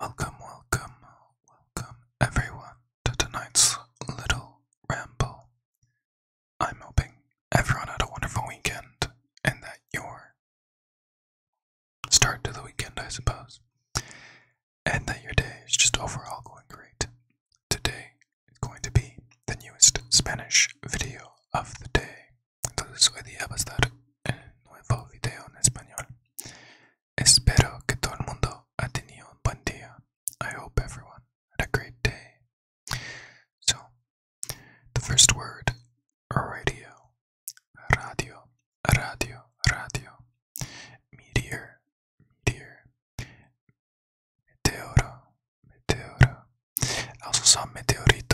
Welcome, welcome, welcome everyone to tonight's little ramble. I'm hoping everyone had a wonderful weekend and that your start to the weekend, I suppose, and that your day is just overall going great. Today is going to be the newest Spanish video of the day. entonces hoy día va a estar el nuevo video en español espero que todo el mundo ha tenido un buen día I hope everyone had a great day so the first word radio radio radio radio meteor meteor meteoro meteoro Vamos also meteorito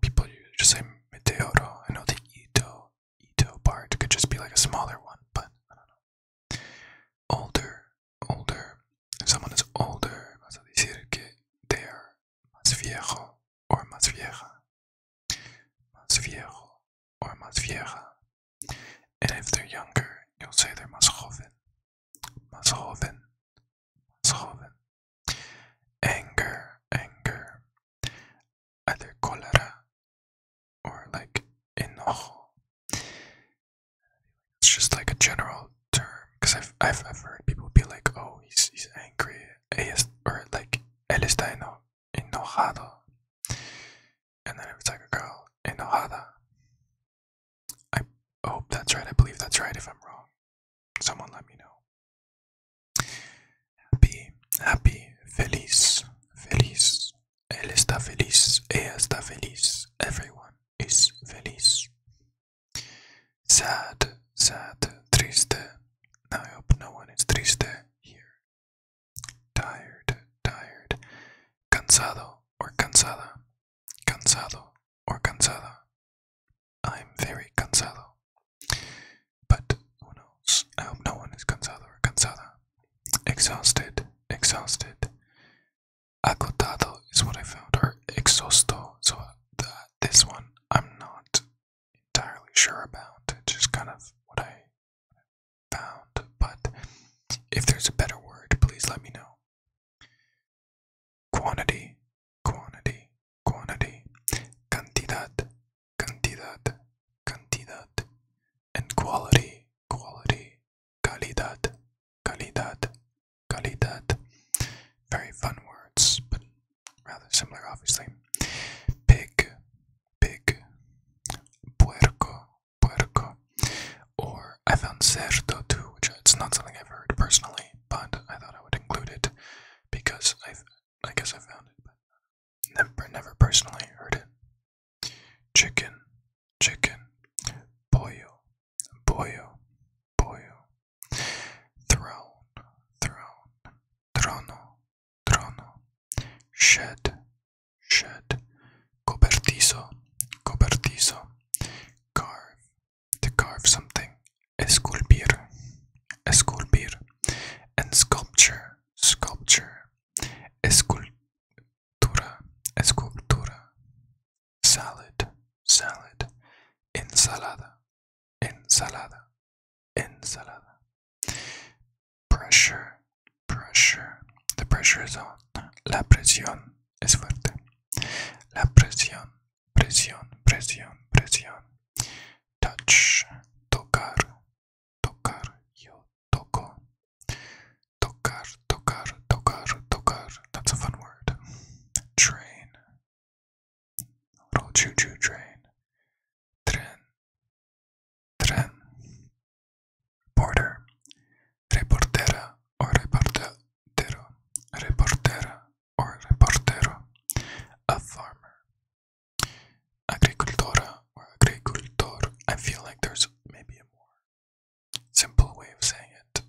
people just say Meteoro. I know the Ito Ito part could just be like a smaller one, but I don't know. Older, older. If someone is older, that's a decir que they are más viejo or más vieja. Más viejo or más vieja. And if they're younger, you'll say they're más joven. Más joven. Anger, anger, like enojo. It's just like a general term because I've, I've heard people be like, oh, he's he's angry, es, or like él está eno, enojado, and then it it's like a girl, enojada. I hope that's right. I believe that's right. If I'm wrong, Someone let me know. Happy, happy, feliz, feliz. Él está feliz, ella está feliz. Everyone is feliz. Sad, sad, triste. I hope no one is triste here. Tired, tired. Cansado or cansada cansado or cansada. I'm very cansado. But who knows? I hope no one is cansado or cansada. Exhausted, exhausted. Acotado is what I found, or exhausto. So uh, this one I'm not entirely sure about. It's just kind of what I found. But if there's a better word, please let me know. Quantity, quantity, quantity. Cantidad, cantidad, cantidad. And quality, quality. Calidad, calidad, calidad. Very fun words, but rather similar, obviously. Pig, pig. Puerco, puerco. Or I found cerdo too, which it's not something I've heard personally but I thought I would include it because I, I guess I found it, but never, never personally heard it. Chicken, chicken, pollo, pollo, pollo. Throne, throne, trono, trono. Shed, shed. Cobertizo, cobertizo. Carve, to carve something, esculpir, esculpir, and sculpture, sculpture, escultura, escultura, salad, salad, ensalada, ensalada, ensalada, pressure, pressure, the pressure is on, la presión es fuerte. La presión, presión, presión, presión. Touch, tocar, tocar, yo toco. Tocar, tocar, tocar, tocar. That's a fun word. Train. Little choo choo train. Tren. Tren. Reporter, reportera o reportero, reportera or reportero, a farmer, agricultora or agricultor. I feel like there's maybe a more simple way of saying it,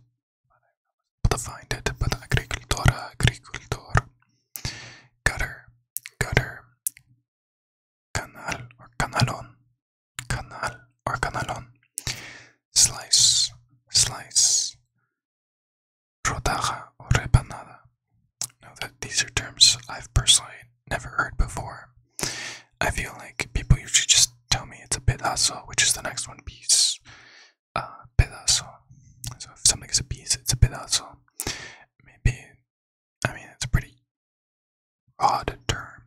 but I to find it. But agricultora, agricultor, gutter, gutter, canal or canalón, canal or canalón, slice, slice, rodaja or repanada. Now that these are terms I've personally never heard before, I feel like people usually just tell me it's a pedazo, which is the next one piece. Uh, pedazo. So if something is a piece, it's a pedazo. Maybe, I mean, it's pretty odd term.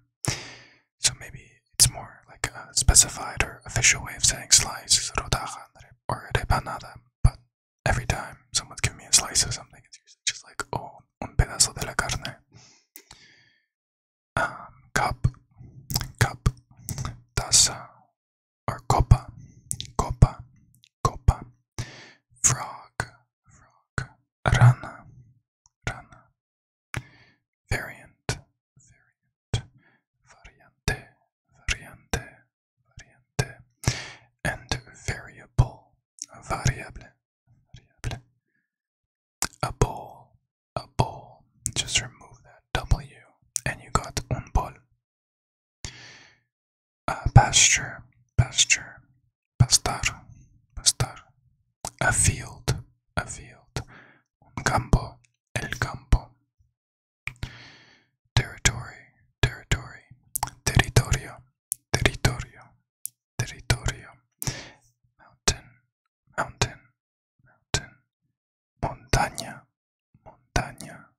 So maybe it's more like a specified or official way of saying slice is rodaja or rebanada. But every time someone's giving me a slice of something, it's usually just like, oh, un pedazo de la carne. Um, cup, taza, or copa, copa, copa, frog, frog, rana, Variant, variant, variante, variante, variante, and variable, variable, A ball, a ball. Just remove that W, and you got un uh, pasture, pasture, Pastar, pastar. A field, a field. Un campo, el campo. Territory, territory. Territorio, territorio. Territorio. Mountain, mountain, mountain. Montaña, montaña,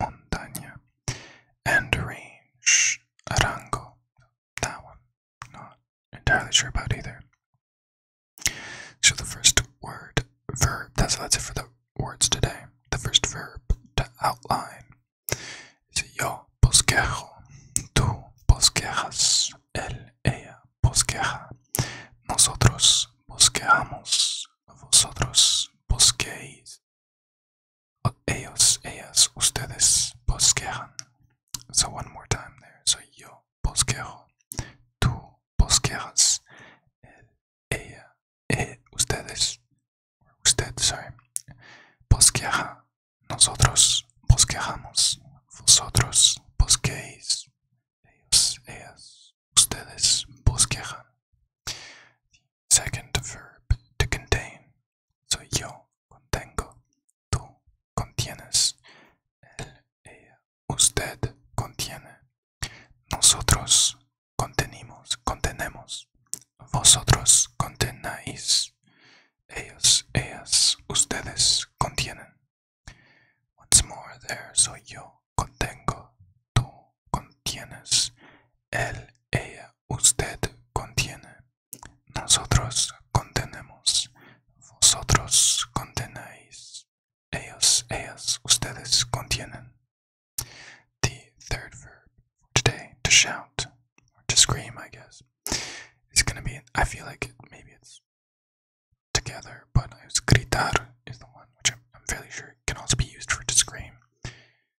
montaña. And range, arango. That one, not entirely sure about either. So the first word, verb, that's, that's it for the words today. The first verb to outline is yo bosquejo, tú bosquejas, él, ella bosqueja, nosotros bosquejamos, vosotros bosquéis, Ellos, ellas, ustedes bosquejan. So one more time there. So yo bosquejo. Tú bosquejas. Él, ella, él, eh, ustedes. Usted, sorry. Bosqueja. Nosotros bosquejamos. Vosotros bosquéis. Ellos, ellas, ustedes bosquejan. Second verb to contain. So yo contengo, tú contienes, él, ella, usted contiene, nosotros contenimos, contenemos, vosotros contenáis, ellos, ellas, ustedes contienen. Once more, there soy yo, contengo, tú contienes, él, ella, usted contiene, Nosotros contenemos, vosotros contenéis, ellos, ellas, ustedes contienen. The third verb today, to shout, or to scream, I guess, is going to be, I feel like maybe it's together, but it's gritar is the one, which I'm fairly sure can also be used for to scream.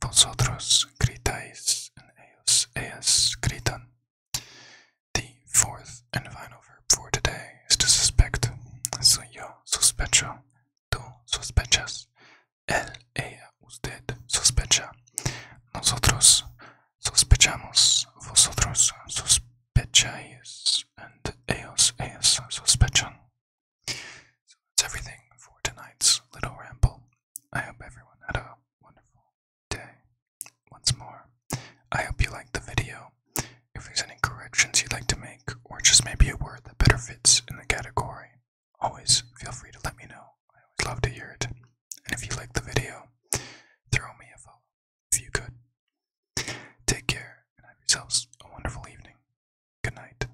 Vosotros gritáis and ellos, ellas gritan. The fourth and final verb for today is to suspect. So yo sospecho, tú sospechas, él, ella, usted sospecha, nosotros sospechamos, vosotros sospecháis, and ellos, ellas sospechan. So that's everything for tonight's little ramble. I hope everyone had a wonderful day. Once more, I hope you liked the video. If there's any corrections you'd like to make, or just maybe a word that better fits in the category, always feel free to let me know. I always love to hear it. And if you liked the video, throw me a follow if you could. Take care and have yourselves a wonderful evening. Good night.